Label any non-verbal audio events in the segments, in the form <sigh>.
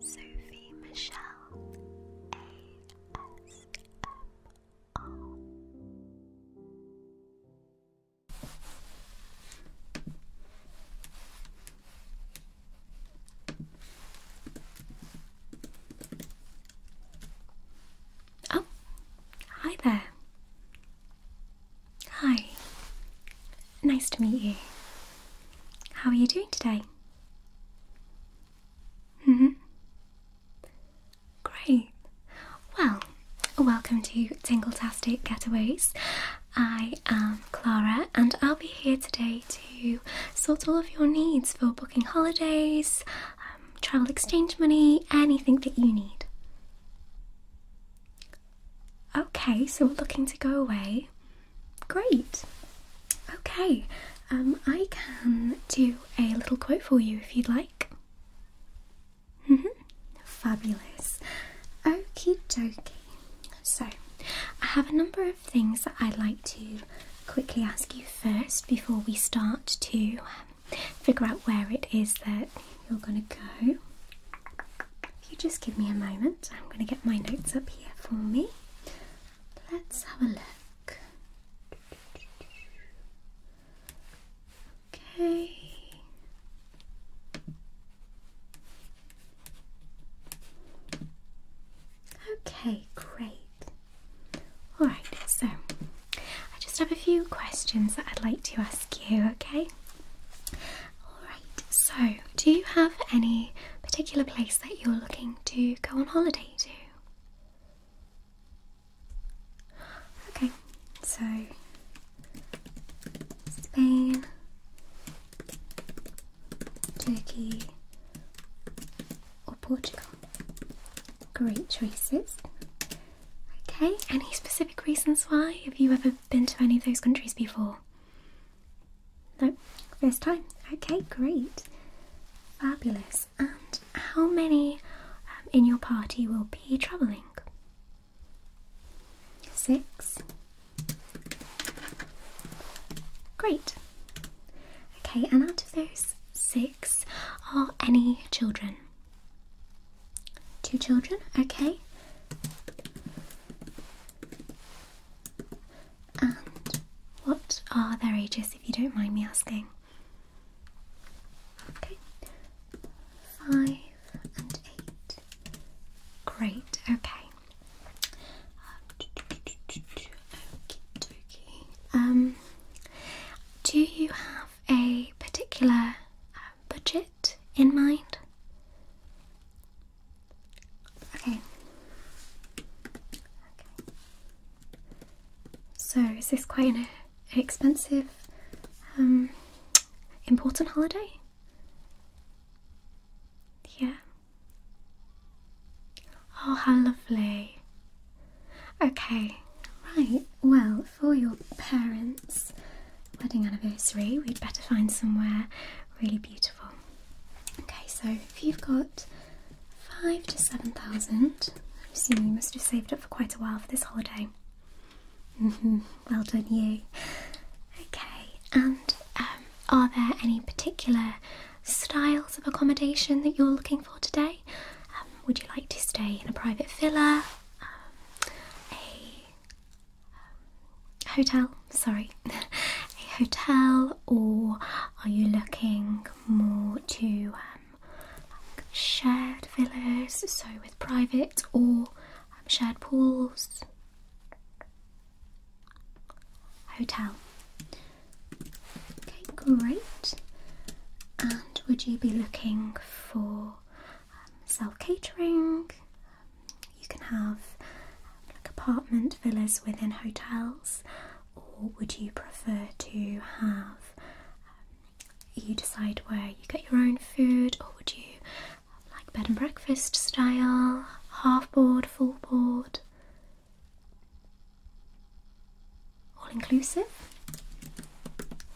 Sophie Michelle ASMR. Oh, hi there. Hi, Nice to meet you. How are you doing today? Mm hmm Great. Well, welcome to Tingletastic Getaways. I am Clara and I'll be here today to sort all of your needs for booking holidays, um, travel exchange money, anything that you need. Okay, so we're looking to go away. Great. Okay, um, I can do a little quote for you if you'd like. Mm -hmm. Fabulous. Okie dokie. So, I have a number of things that I'd like to quickly ask you first before we start to um, figure out where it is that you're going to go. If you just give me a moment, I'm going to get my notes up here for me. Let's have a look. Okay. Okay, great. Alright, so I just have a few questions that I'd like to ask you, okay? Alright, so do you have any particular place that you're looking to go on holiday to? Okay, so Spain, Turkey, or Portugal. Great choices. Okay, any specific reasons why? Have you ever been to any of those countries before? No, first time. Okay, great. Fabulous. And how many um, in your party will be travelling? Six. Great. Okay, and out of those six, are any children? Two children, okay. And what are their ages, if you don't mind me asking? Okay, five and eight. Great, okay. Um, do you have a particular uh, budget in mind? Okay. Okay. So, is this quite an expensive, um, important holiday? Yeah. Oh, how lovely. Okay, right. Well, for your parents' wedding anniversary, we'd better find somewhere really beautiful. Okay, so if you've got five to seven thousand, I'm assuming you must have saved up for quite a while for this holiday. Mm-hmm, well done, you. Okay, and um, are there any particular styles of accommodation that you're looking for today? Um, would you like to stay in a private villa, um, hotel, sorry, <laughs> a hotel, or are you looking more to um, shared villas, so with private or um, shared pools? Hotel. Okay, great. And would you be looking for um, self catering, you can have um, apartment villas within hotels, or would you prefer to have um, you decide where you get your own food, or would you um, like bed and breakfast style, half board, full board? All inclusive?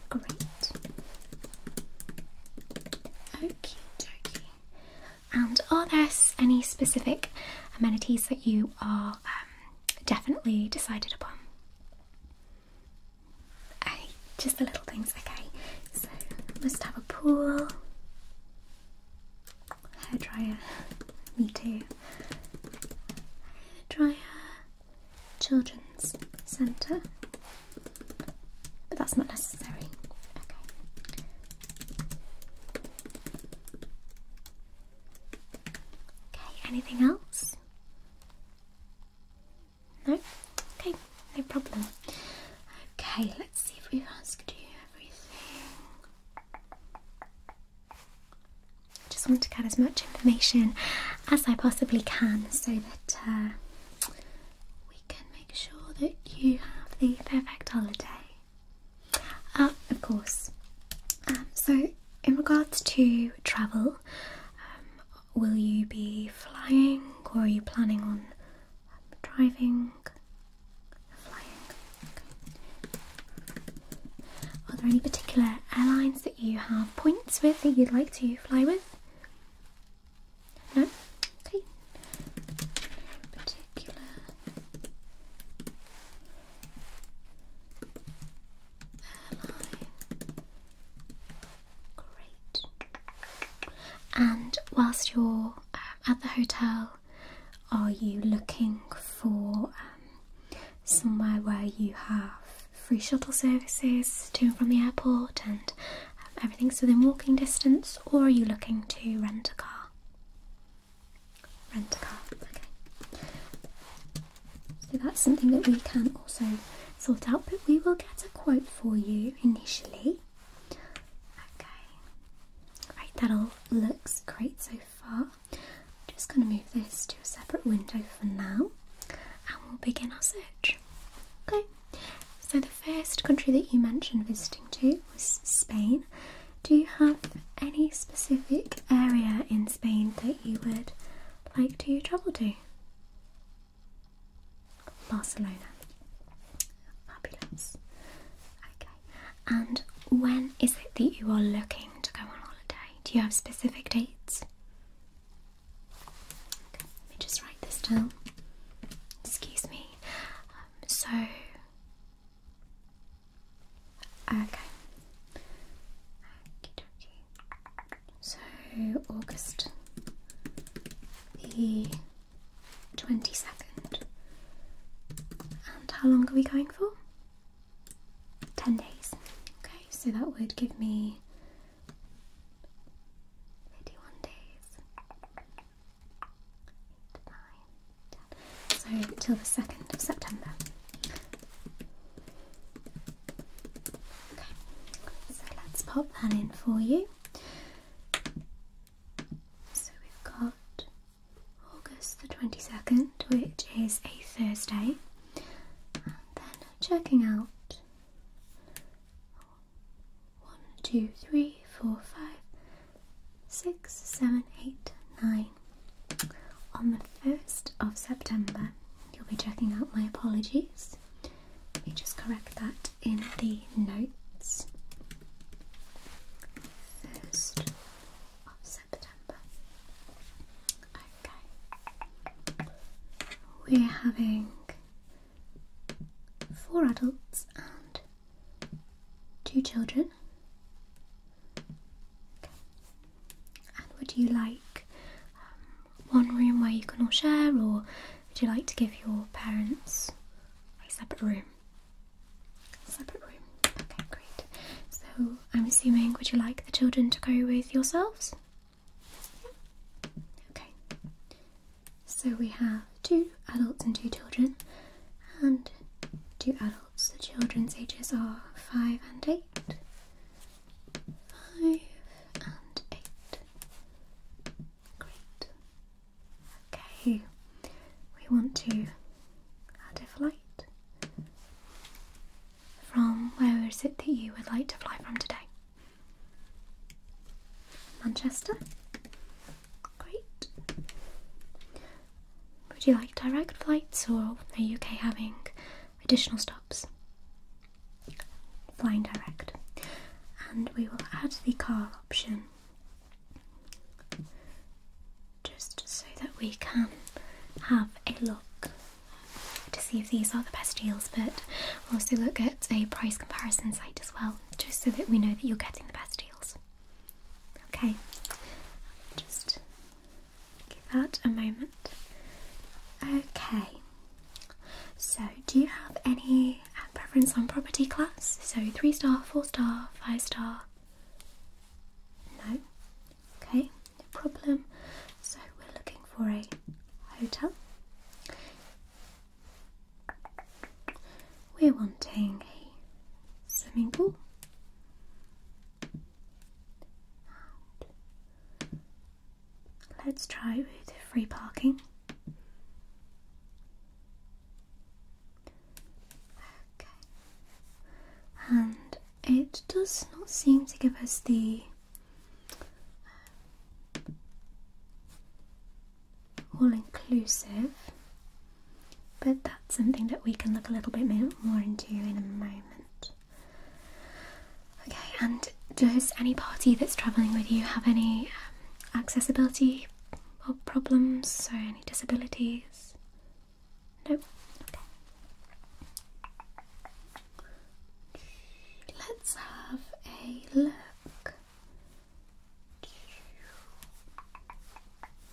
Great. Okie dokie. And are there any specific amenities that you are um, definitely decided upon? just the little things, okay. So, must have a pool, hairdryer, me too, hairdryer, children's centre, but that's not necessary. Okay. Okay, anything else? No? Okay, no problem. Okay, let's see if we've asked you everything. Just want to get as much information as I possibly can so that uh, we can make sure that you have the perfect holiday. Ah, of course. Um, so, in regards to travel, um, will you be flying or are you planning on um, driving? Flying. Are there any particular airlines that you have points with that you'd like to fly with? No? Okay. Great. And whilst you're um, at the hotel, are you looking for um, somewhere where you have free shuttle services to and from the airport and um, everything's within walking distance, or are you looking to rent a car? Rent a car. Okay. So that's something that we can also sort out, but we will get a quote for you initially. Okay. Right, that all looks great so far. I'm just going to move this to a separate window for now and we'll begin our search. Okay. So the first country that you mentioned visiting to was Spain. Do you have any specific area in Spain that you would like to travel to? Barcelona. Fabulous. Okay. And when is it that you are looking to go on holiday? Do you have specific dates? Okay, let me just write this down. Excuse me. Um, so, Okay. So August the twenty second. And how long are we going for? Ten days. Okay, so that would give me thirty one days. So till the 2nd of September. Okay, so let's pop that in for you. So we've got August the 22nd, which is a Thursday, and then checking out. One, two, three, four, five, six, seven, eight, nine. On the 1st of September, you'll be checking out my apologies. Let me just correct that in the notes. 1st of September. Okay. We're having four adults and Two children. And would you like um, one room where you can all share, or would you like to give your parents a separate room? separate room. Okay, great. So I'm assuming, would you like the children to go with yourselves? Yeah. Okay. So we have two adults and two children, and two adults. The children's ages are five and eight. Five and eight. Great. Okay, we want to add a flight. From where is it that you would like to fly from today? Manchester? Great. Would you like direct flights or are you okay having additional stops? Flying direct. And we will add the car option just so that we can have a look to see if these are the best deals but we'll also look at a price comparison site as well just so that we know that you're getting the best deals. Okay, just give that a moment. Okay, so do you have any uh, preference on property class? So three star, four star, five star? No? Okay, no problem. So we're looking for a hotel. We're wanting a swimming pool let's try with free parking okay and it does not seem to give us the uh, all inclusive but that's something that we can look a little bit more into in a moment. Okay, and does any party that's travelling with you have any um, accessibility problems, so any disabilities? No? Okay. Let's have a look.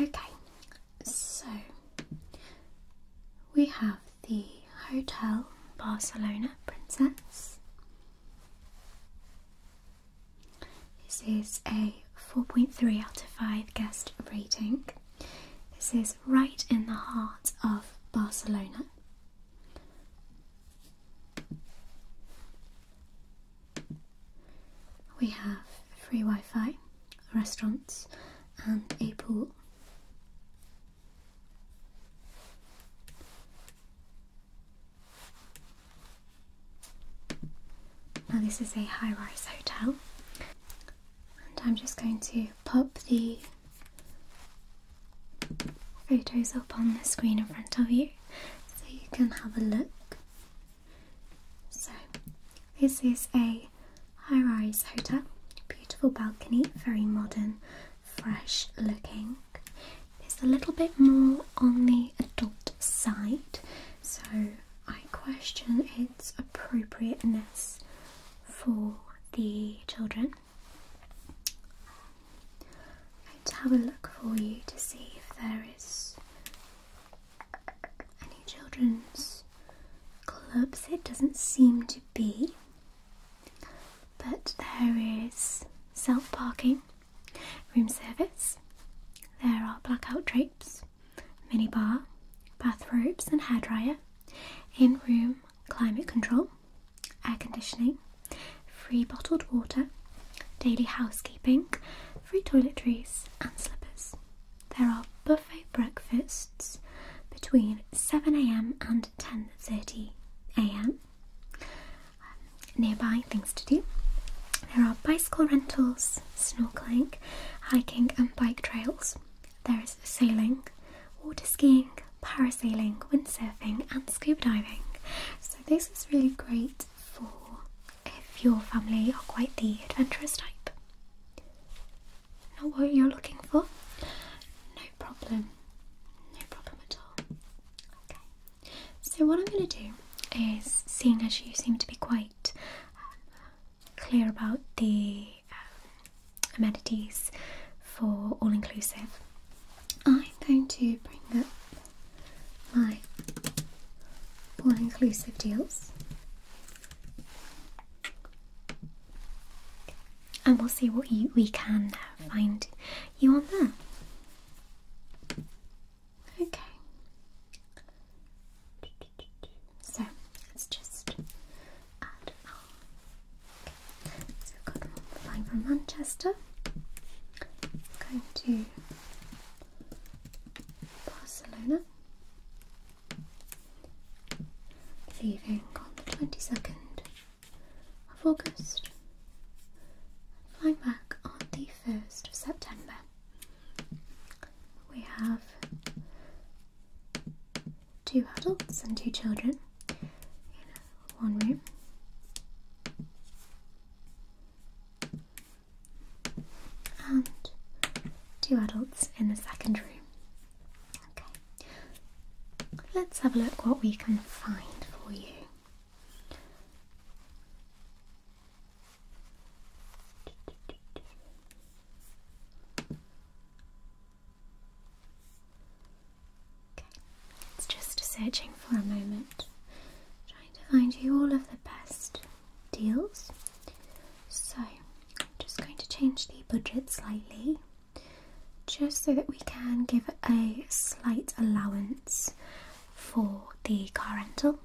Okay, so we have the Hotel Barcelona Princess. This is a 4.3 out of 5 guest rating. This is right in the heart of Barcelona. We have free Wi Fi, restaurants, and a pool. Now, this is a high rise hotel, and I'm just going to pop the photos up on the screen in front of you so you can have a look so, this is a high rise hotel, beautiful balcony, very modern, fresh looking. It's a little bit more on the adult side, so I question its appropriateness for the children. to have a look for you to see if there is any children's clubs. It doesn't seem to be, but there is self parking, room service, there are blackout drapes, minibar, bathrobes, and hairdryer, in room climate control, air conditioning, free bottled water, daily housekeeping, free toiletries, and slippers. There are buffet breakfasts between 7am and 10.30am. nearby things to do. There are bicycle rentals, snorkeling, hiking and bike trails. There is sailing, water skiing, parasailing, windsurfing and scuba diving. So this is really great for if your family are quite the adventurous type. Not what you're looking for? No problem. No problem at all. Okay. So what I'm going to do is, seeing as you seem to be quite um, clear about the um, amenities for all inclusive, I'm going to bring up my all inclusive deals. And we'll see what we can uh, find you on there. Okay. So let's just add So we've got flying from Manchester. Going to Barcelona leaving on the 22nd of August, flying back on the 1st of September. We have two adults and two children in one room. And two adults in the second room. Okay, let's have a look what we can find for you. Okay, it's just searching for a moment, trying to find you all of the best deals. So I'm just going to change the budget slightly just so that we can give a slight allowance for the car rental.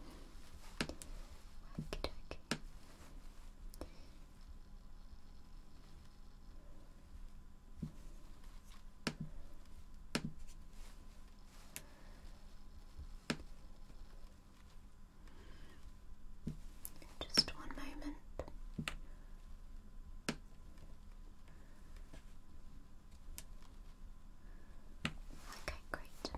Just one moment. Okay, great.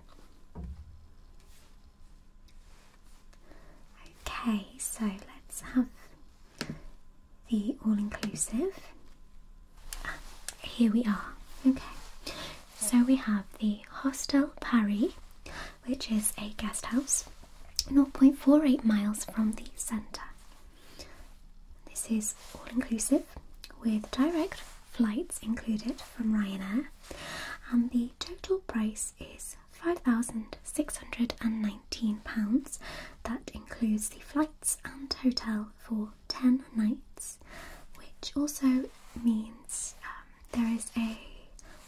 Okay, so let's have the all inclusive. Ah, here we are. Okay, so we have the Hostel Paris which is a guest house 0.48 miles from the centre. This is all inclusive with direct flights included from Ryanair, and the total price is £5,619. That includes the flights and hotel for 10 nights, which also means uh, there is a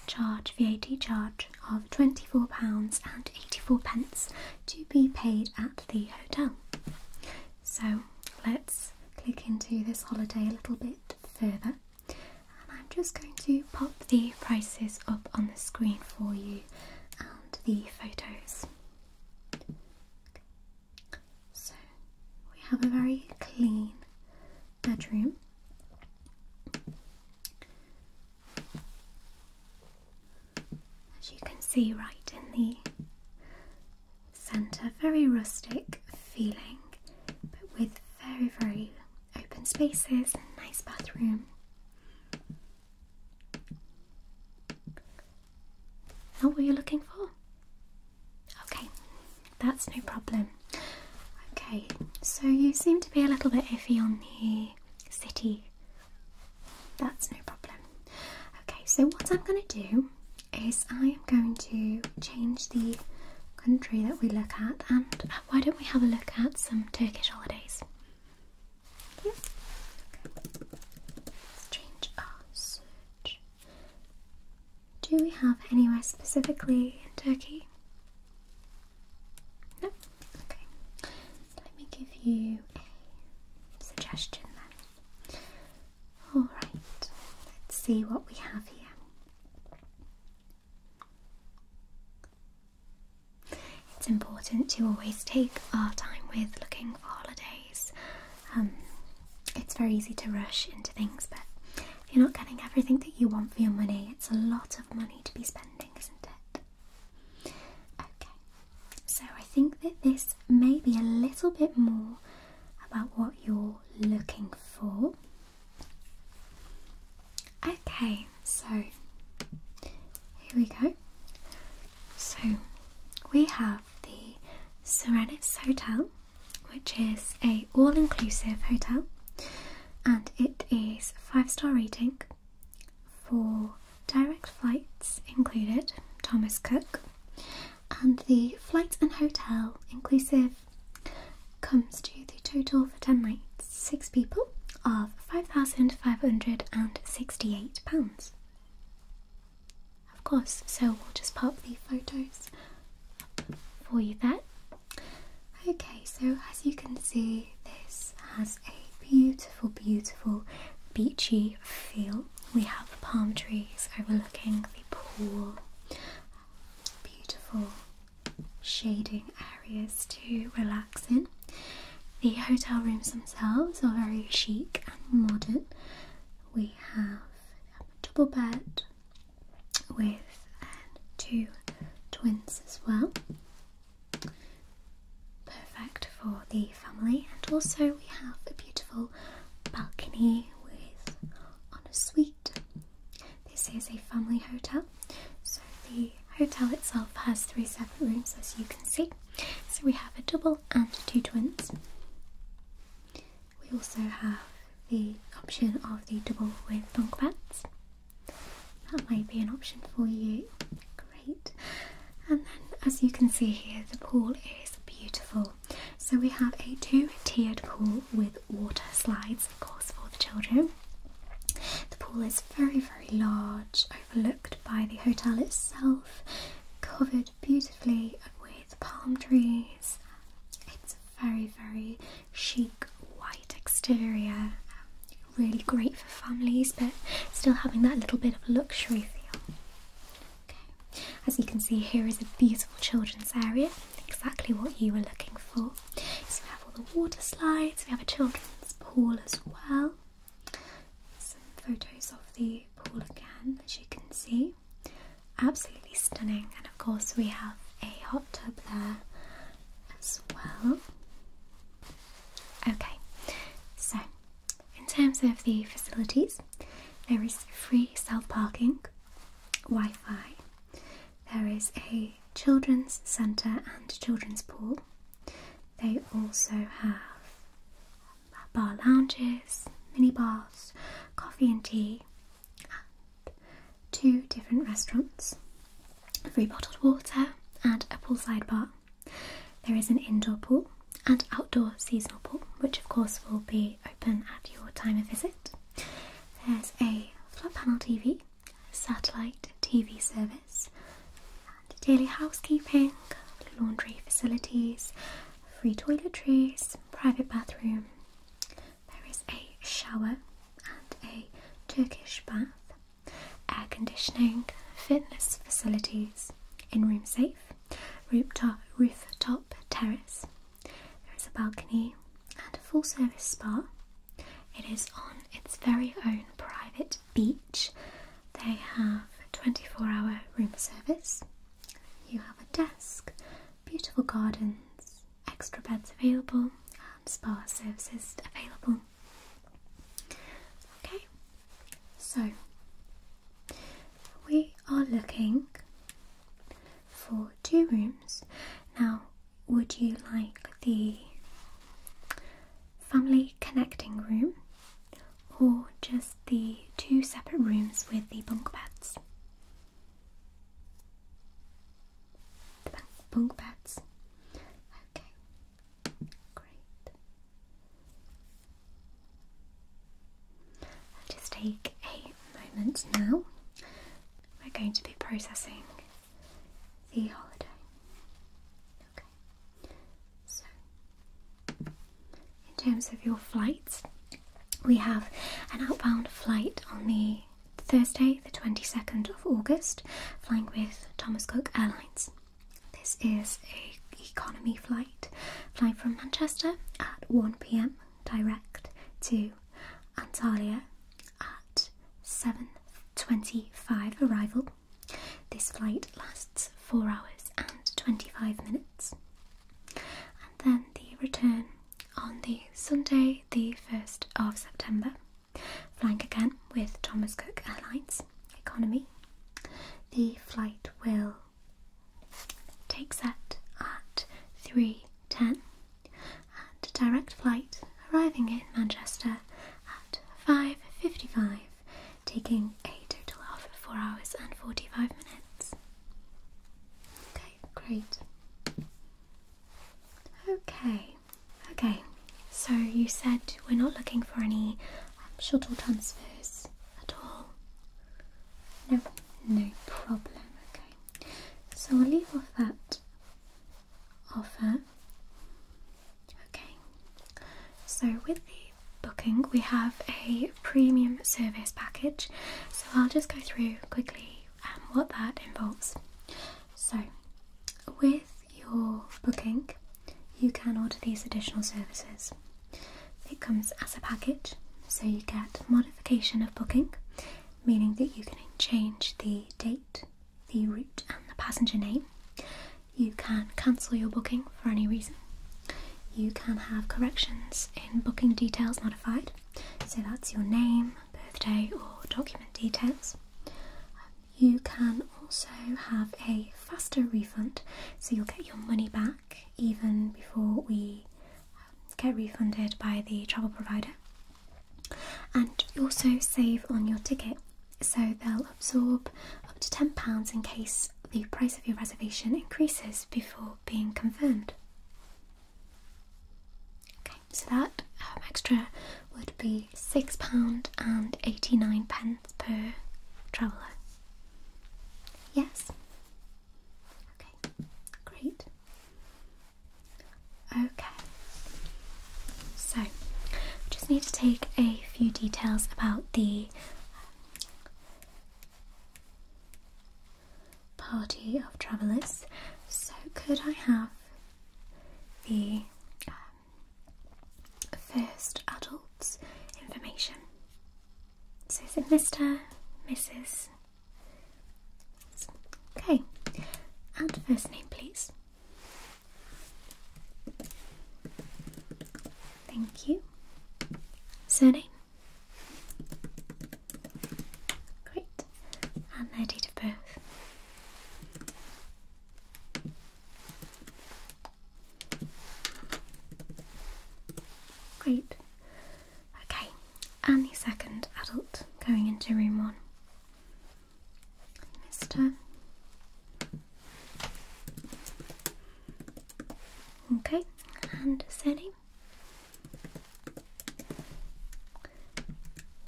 charge, VAT charge, of £24.84 pence to be paid at the hotel. So let's click into this holiday a little bit further. And I'm just going to pop the prices up on the screen for you and the photos. So we have a very clean bedroom. As you can see, right in the centre, very rustic feeling, but with very, very open spaces and nice bathroom. What were you looking for? Okay, that's no problem. Okay, so you seem to be a little bit iffy on the city. That's no problem. Okay, so what I'm going to do is I am going to change the country that we look at, and why don't we have a look at some Turkish holidays? Let's change our search. Do we have anywhere specifically in Turkey? No? Okay. Let me give you a suggestion then. Alright, let's see what we have here. It's important to always take our time with looking for holidays. Um, it's very easy to rush into things, but you're not getting everything that you want for your money. It's a lot of money to be spending, isn't it? Okay, so I think that this may be a little bit more about what you're looking for. Okay, so here we go. So we have the Serenitz Hotel, which is a all-inclusive hotel and it is five star rating for direct flights included, Thomas Cook, and the flight and hotel inclusive comes to the total for 10 nights, six people, of £5,568. Of course, so we'll just pop the photos for you there Okay, so as you can see, this has a beautiful, beautiful beachy feel. We have palm trees overlooking the pool, beautiful shading areas to relax in. The hotel rooms themselves are very chic and modern. We have a double bed with two twins as well. Perfect for the family, and also we have a beautiful balcony with on a suite. This is a family hotel, so the hotel itself has three separate rooms, as you can see. So we have a double and two twins. We also have the option of the double with bunk beds. That might be an option for you. Great. And then, as you can see here, the pool is beautiful. So, we have a two tiered pool with water slides, of course, for the children. The pool is very, very large, overlooked by the hotel itself, covered beautifully with palm trees very, very chic white exterior. Um, really great for families, but still having that little bit of luxury feel. Okay. As you can see, here is a beautiful children's area, exactly what you were looking for. So we have all the water slides, we have a children's pool as well. Some photos of the pool again, as you can see. Absolutely stunning, of course we have a hot tub there as well. Okay, so in terms of the facilities, there is free self parking, Wi Fi, there is a children's centre and children's pool. They also have bar lounges, minibars, coffee and tea, two different restaurants, free bottled water, and a poolside bar. There is an indoor pool and outdoor seasonal pool, which of course will be open at your time of visit. There's a flat panel TV, satellite TV service, daily housekeeping, laundry facilities, free toiletries, private bathroom, there is a shower and a Turkish bath, air conditioning, fitness facilities in room safe, rooftop, rooftop terrace. There is a balcony and a full service spa. It is on its very own private beach. They have 24 hour room service. You have a desk, beautiful gardens, extra beds available and um, spa services available. Okay, so we are looking for two rooms. Now, would you like the family connecting room or just the two separate rooms with the bunk beds? The bunk beds. Okay, great. just take a moment now. We're going to be processing the holiday. Okay, so in terms of your flights, we have an outbound flight on the Thursday, the 22nd of August, flying with Thomas Cook Airlines. This is a economy flight, flying from Manchester at 1 pm direct to Antalya at 7:25 arrival. This flight lasts 4 hours and 25 minutes. And then the return on the Sunday, the 1st of September. Flying again with Thomas Cook Airlines Economy. The flight will take set at 3.10 and a direct flight arriving in Manchester at 5.55 taking a total of 4 hours and 45 minutes. Okay, great. Okay, Okay, so you said we're not looking for any um, shuttle transfers at all. No, no problem. Okay, so we'll leave off that offer. Okay, so with the booking, we have a premium service package. So I'll just go through quickly um, what that involves. So, with your booking, you can order these additional services. It comes as a package, so you get modification of booking, meaning that you can change the date, the route, and the passenger name. You can cancel your booking for any reason. You can have corrections in booking details modified, so that's your name, birthday, or document details you can also have a faster refund, so you'll get your money back even before we um, get refunded by the travel provider. And also save on your ticket, so they'll absorb up to £10 in case the price of your reservation increases before being confirmed so that um, extra would be £6 and 89 pence per traveller. Yes? Okay, great. Okay, so we just need to take a few details about the um, party of travellers. So, could I have the um, first adult's information. So it's it Mr, Mrs? Okay, and first name please. Thank you. Surname? Great. And their date of birth? Great. Okay, and the second adult going into room one. Mister. Okay, and Sally.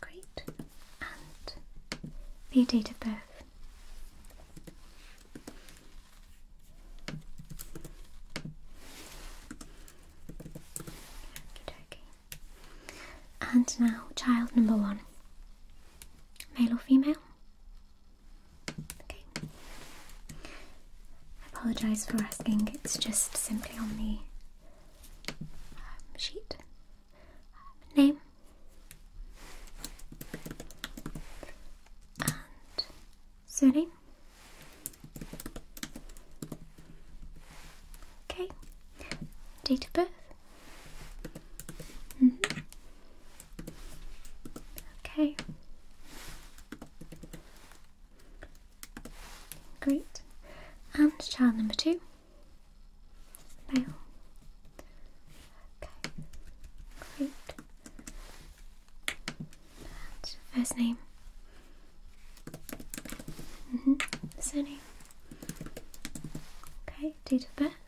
Great. And the date of birth. And now, child number one. Male or female? Okay. I apologise for asking, it's just simply on the um, sheet. Um, name? And surname? Okay. Date of birth? Mm-hmm. Okay. Great. And child number two? now. Okay, great. first name. Mm -hmm. Surname. Okay, date of birth.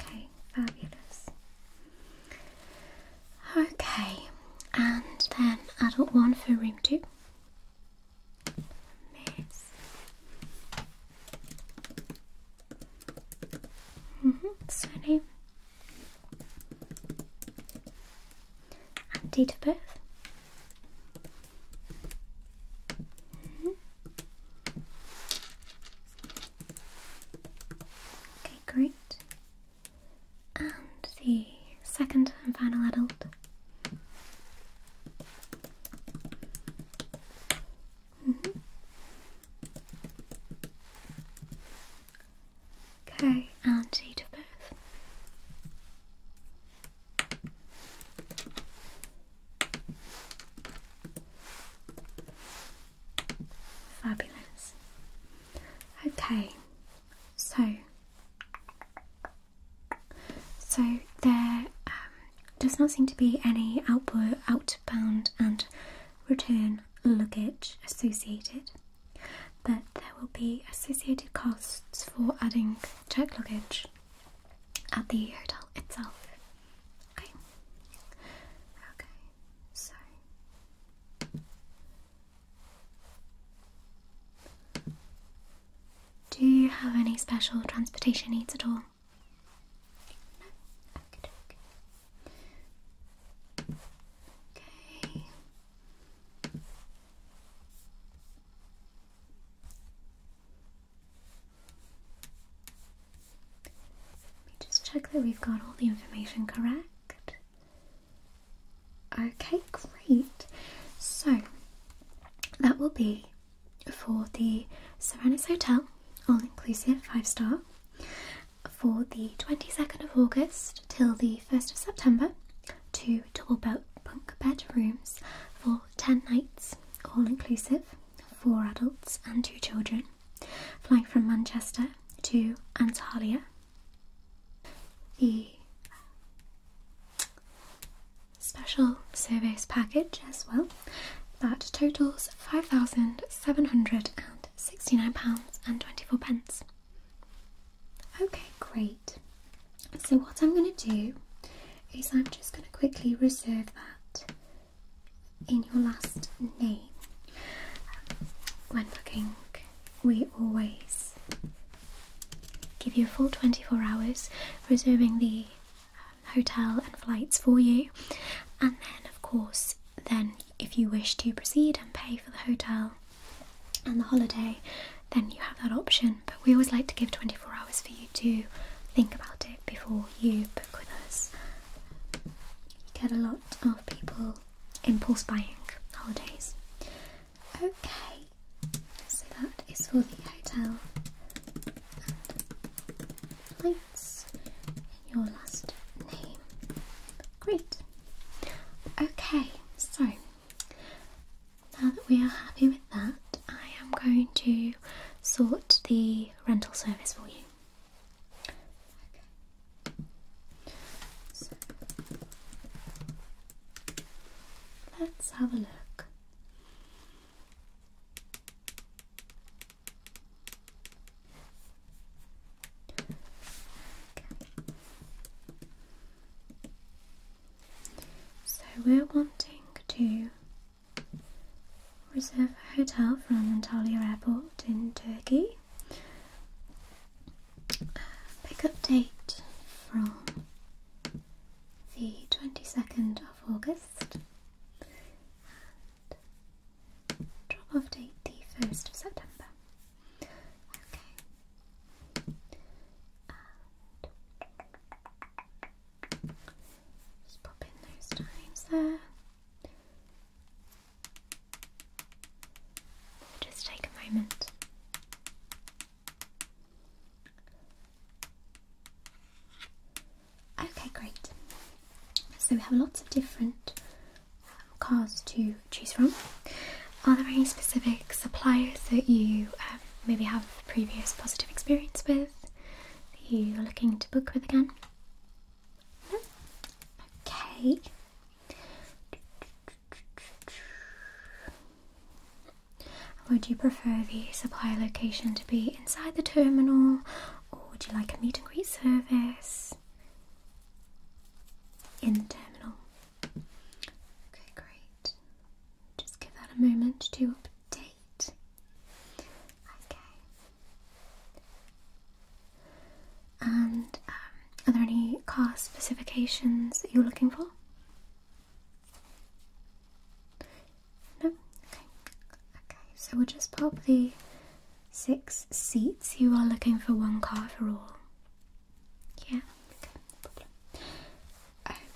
Okay, fabulous. Okay, and then adult one for room two. Miss. Mm -hmm, surname. And date of birth. -hmm. Okay, great. And the second and final adult. Mm-hmm. Okay, and date of Fabulous. Okay, so so there um, does not seem to be any outboard, outbound and return luggage associated, but there will be associated costs for adding check luggage at the hotel itself. Okay. Okay. So do you have any special transportation needs at all? Okay. Let me just check that we've got all the information correct. Okay, great. So that will be for the Serenus Hotel, all inclusive, five star, for the 22nd of August till the 1st of September, two double bunk bed rooms for 10 nights, all inclusive, four adults and two children flying from Manchester to Antalya. The special service package as well that totals £5,769.24. Okay, great. So, what I'm going to do is I'm just going to quickly reserve that in your last name. When booking, we always give you a full 24 hours, reserving the um, hotel and flights for you. And then, of course, then if you wish to proceed and pay for the hotel and the holiday, then you have that option. But we always like to give 24 hours for you to think about it before you book with us. You get a lot of people impulse buying holidays. Okay, so that is for the hotel and lights your last name. Great. Okay, so now that we are happy with that, I am going to sort the rental service for you let's have a look. So we're wanting to Reserve a hotel from Antalya Airport in Turkey. Pick up date from the 22nd of August and drop off date the 1st of September. Okay. just pop in those times there. Just take a moment. Okay, great. So we have lots of different um, cars to choose from. Are there any specific suppliers that you um, maybe have previous positive experience with that you are looking to book with again? Okay. Would you prefer the supply location to be inside the terminal or would you like a meet and greet service? In the terminal. Okay, great. Just give that a moment to update. Okay. And um, are there any car specifications that you're looking for? No? Okay. Okay, so we'll just pop the six seats. You are looking for one car for all. Yeah, okay,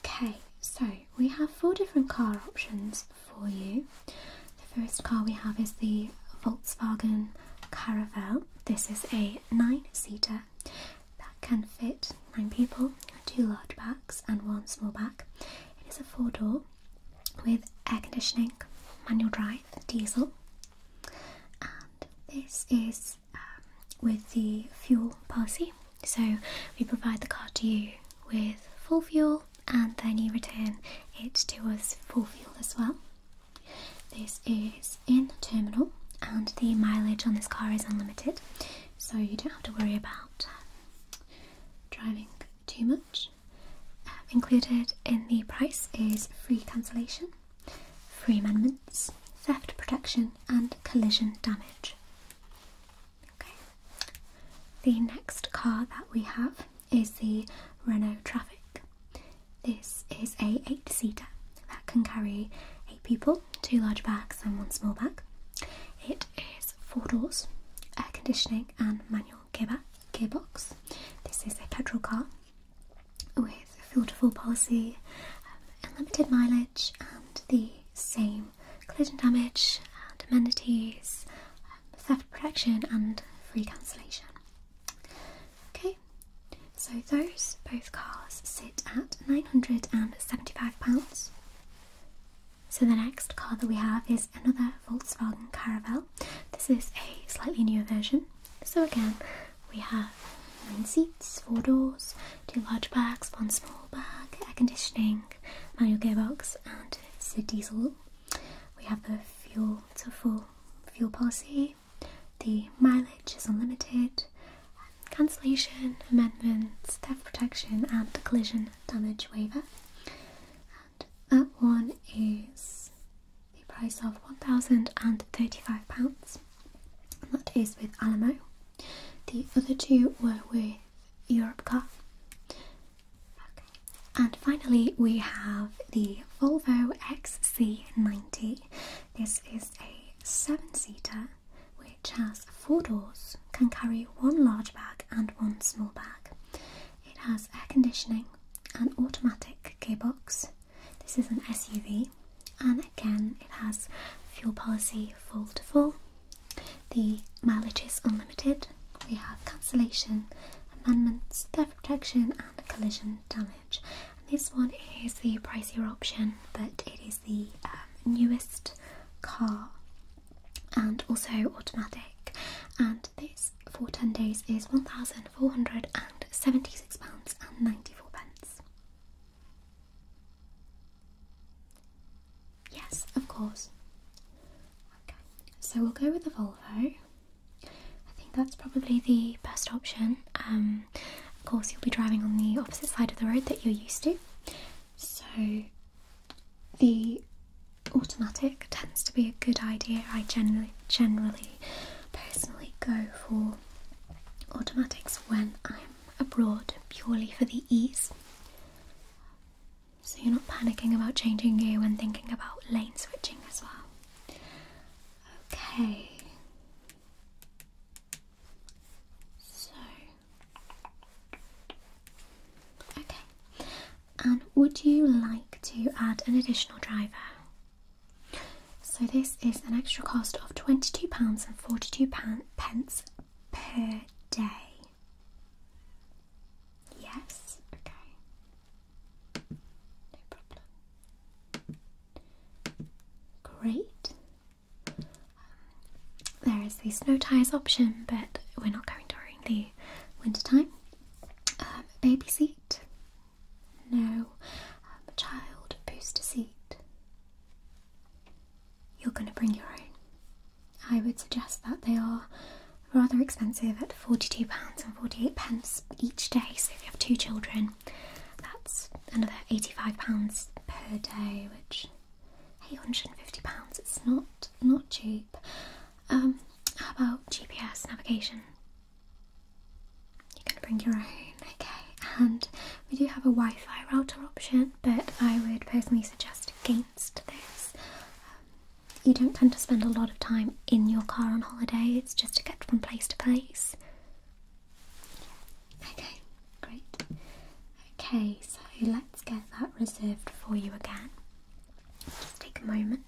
Okay, so we have four different car options for you. The first car we have is the Volkswagen Caravelle. This is a nine seater that can fit nine people, two large backs, and one small back. It is a four door with air conditioning, manual drive, diesel, and this is um, with the fuel policy. So we provide the car to you with full fuel and then you return it to us full fuel as well. This is in terminal and the mileage on this car is unlimited so you don't have to worry about um, driving too much. Uh, included in the price is free cancellation, free amendments, theft protection and collision damage. Okay. The next car that we have is the Renault Traffic. This is a eight seater that can carry eight people, two large bags and one small bag. It is four doors, air conditioning and manual gearbox. This is a petrol car with fuel to full policy, um, unlimited mileage and the same collision damage and amenities, theft protection and free cancellation. Okay, so those both cars sit at £975. So the next car that we have is another Volkswagen Caravelle. This is a slightly newer version. So again, we have nine seats, four doors, two large bags, one small bag, air conditioning, manual gearbox, and it's a diesel we have the fuel to full fuel policy, the mileage is unlimited, cancellation, amendments, theft protection, and the collision damage waiver. that one is the price of £1,035, that is with Alamo. The other two were with Europcar. And finally, we have the Volvo XC90. This is a seven seater which has four doors, can carry one large bag and one small bag. It has air conditioning, an automatic gearbox. This is an SUV, and again, it has fuel policy full to full. The mileage is unlimited, we have cancellation, amendments, theft protection, and collision damage. this one is the pricier option, but it is the um, newest car and also automatic. And this for 10 days is £1,476.94. Yes, of course. Okay, so we'll go with the Volvo. I think that's probably the best option. Um, of course, you'll be driving on the opposite side of the road that you're used to, so the automatic tends to be a good idea. I generally, generally, personally go for automatics when I'm abroad purely for the ease. So you're not panicking about changing gear when thinking about lane switching as well. Okay. So. Okay. And would you like to add an additional driver? So this is an extra cost of £22 and 42 pence per day. Yes, okay. No problem. Great. Um, there is the snow tires option, but we're not going during the winter time. Um, baby seat? No. Um, child booster seat? You're going to bring your own. I would suggest that they are rather expensive at £42.48 pence each day. So if you have two children, that's another £85 per day, which £850, it's not not cheap. Um, how about GPS navigation? You can bring your own, okay. And we do have a Wi-Fi router option, but I would personally suggest against this. Um, you don't tend to spend a lot of time in your car on holiday, it's just to get from place to place. Okay, great. Okay, so let's get that reserved for you again. Just take a moment.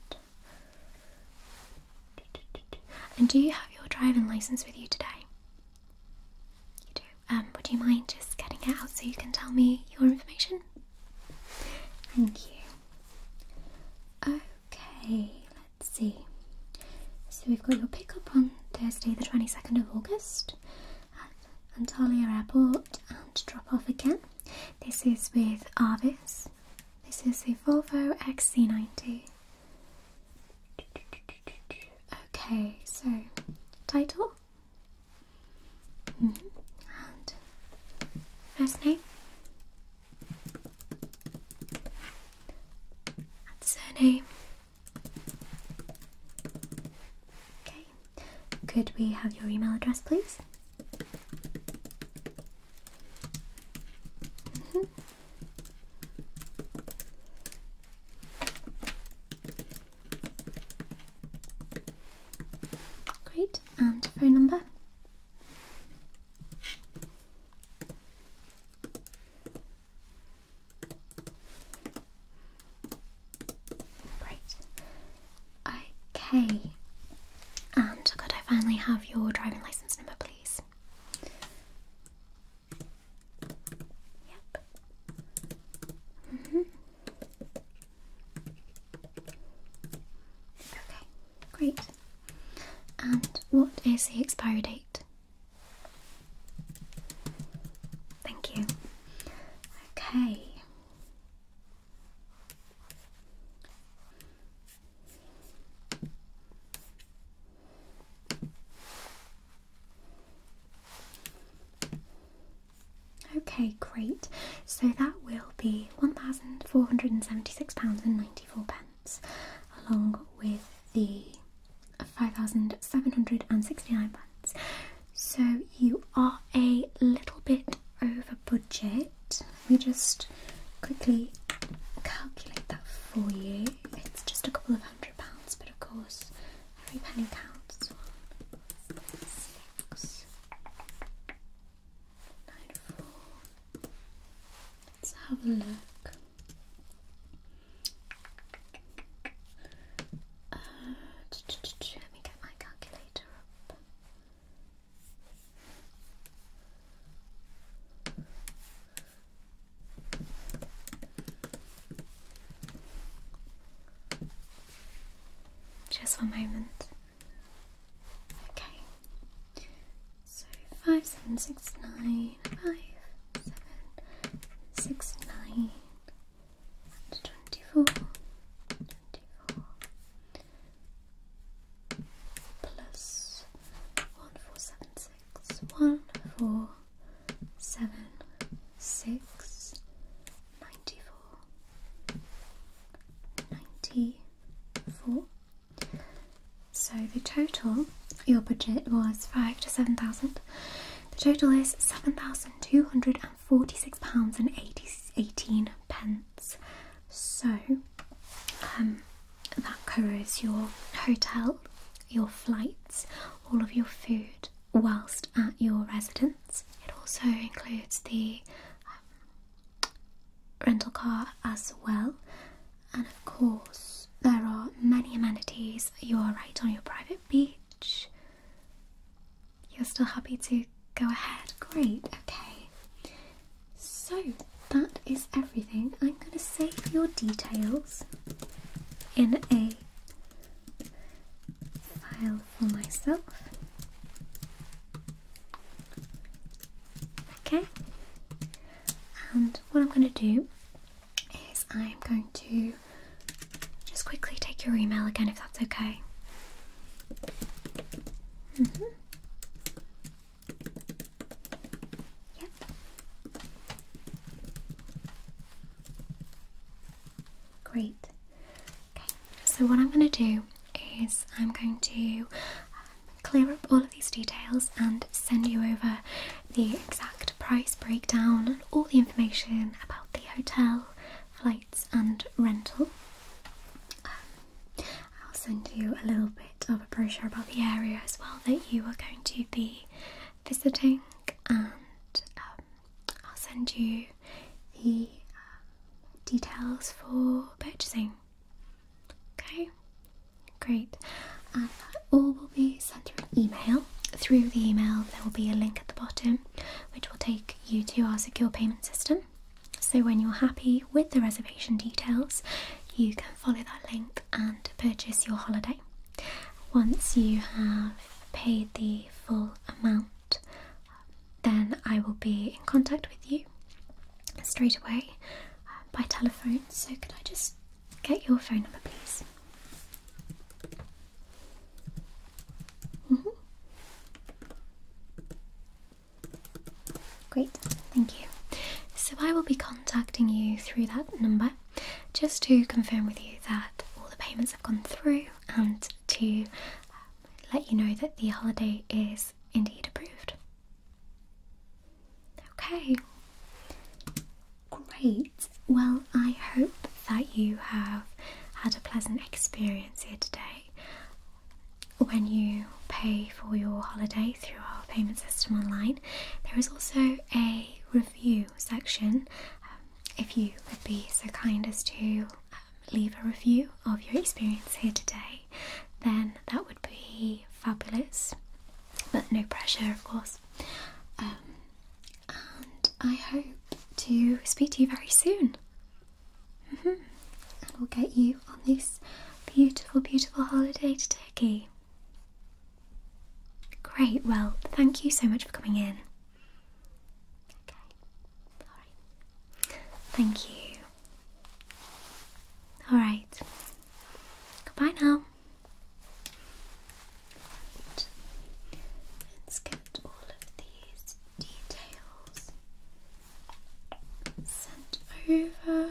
And do you have your driving license with you today? You do. Um, would you mind just getting it out so you can tell me your information? Thank you. Okay, let's see. So we've got your pickup on Thursday, the 22nd of August at Antalya Airport and drop off again. This is with Arvis. This is the Volvo XC90. Okay, so title mm-hmm. and first name surname. Okay, could we have your email address, please? Mm-hmm. Great, and phone number. Great. Okay. And could I finally have your driving license number, please? Yep. -hmm. Okay, great. And what is the expiry date? Thank you. Okay. Okay, great. So that will be £1,476.94, and pence, along with the £5,769. So you are a little bit over budget. We just quickly calculate that for you. It's just a couple of hundred pounds, but of course, every penny counts. Nightfall. Let's have a look. Uh, let me get my calculator up. Just one moment. Okay. So five seven six nine five seven six nine and twenty four twenty four plus one four seven six one four seven six ninety four ninety four so the total, your budget was five to seven thousand. The total is seven thousand two hundred and forty-six pounds and eighteen pence. So um, that covers your hotel, your flights, all of your food whilst at your residence. It also includes the um, rental car as well. And of course, there are many amenities. You are right on your private beach. You're still happy to go ahead? Great, okay. So that is everything. I'm going to save your details in a file for myself. Okay, and what I'm going to do is I'm going to just quickly take your email again if that's okay. Mm-hmm. Yep. Great. Okay, so what I'm going to do is I'm going to uh, clear up all of these details and send you over the exact price breakdown and all the information about the hotel, flights, and rental. Um, I'll send you a little bit of a brochure about the area as well that you are going to be visiting, and um, I'll send you the uh, details for purchasing. Okay, great. Um, all will be sent through email. Through the email, there will be a link at the bottom which will take you to our secure payment system. So, when you're happy with the reservation details, you can follow that link and purchase your holiday. Once you have paid the full amount, then I will be in contact with you straight away uh, by telephone. So, could I just get your phone number, please? Mm-hmm. Great, thank you. So, I will be contacting you through that number just to confirm with you that all the payments have gone through and to um, let you know that the holiday is indeed approved. Okay, great. Well, I hope that you have had a pleasant experience here today. When you pay for your holiday through our payment system online, there is also a review section. Um, if you would be so kind as to um, leave a review of your experience here today, then that would be fabulous. But no pressure, of course. Um, and I hope to speak to you very soon. Mm-hmm. And we'll get you on this beautiful, beautiful holiday to Turkey. Great, well, thank you so much for coming in. Okay, alright. Thank you. Alright. Goodbye now. Right. let all of these details sent over.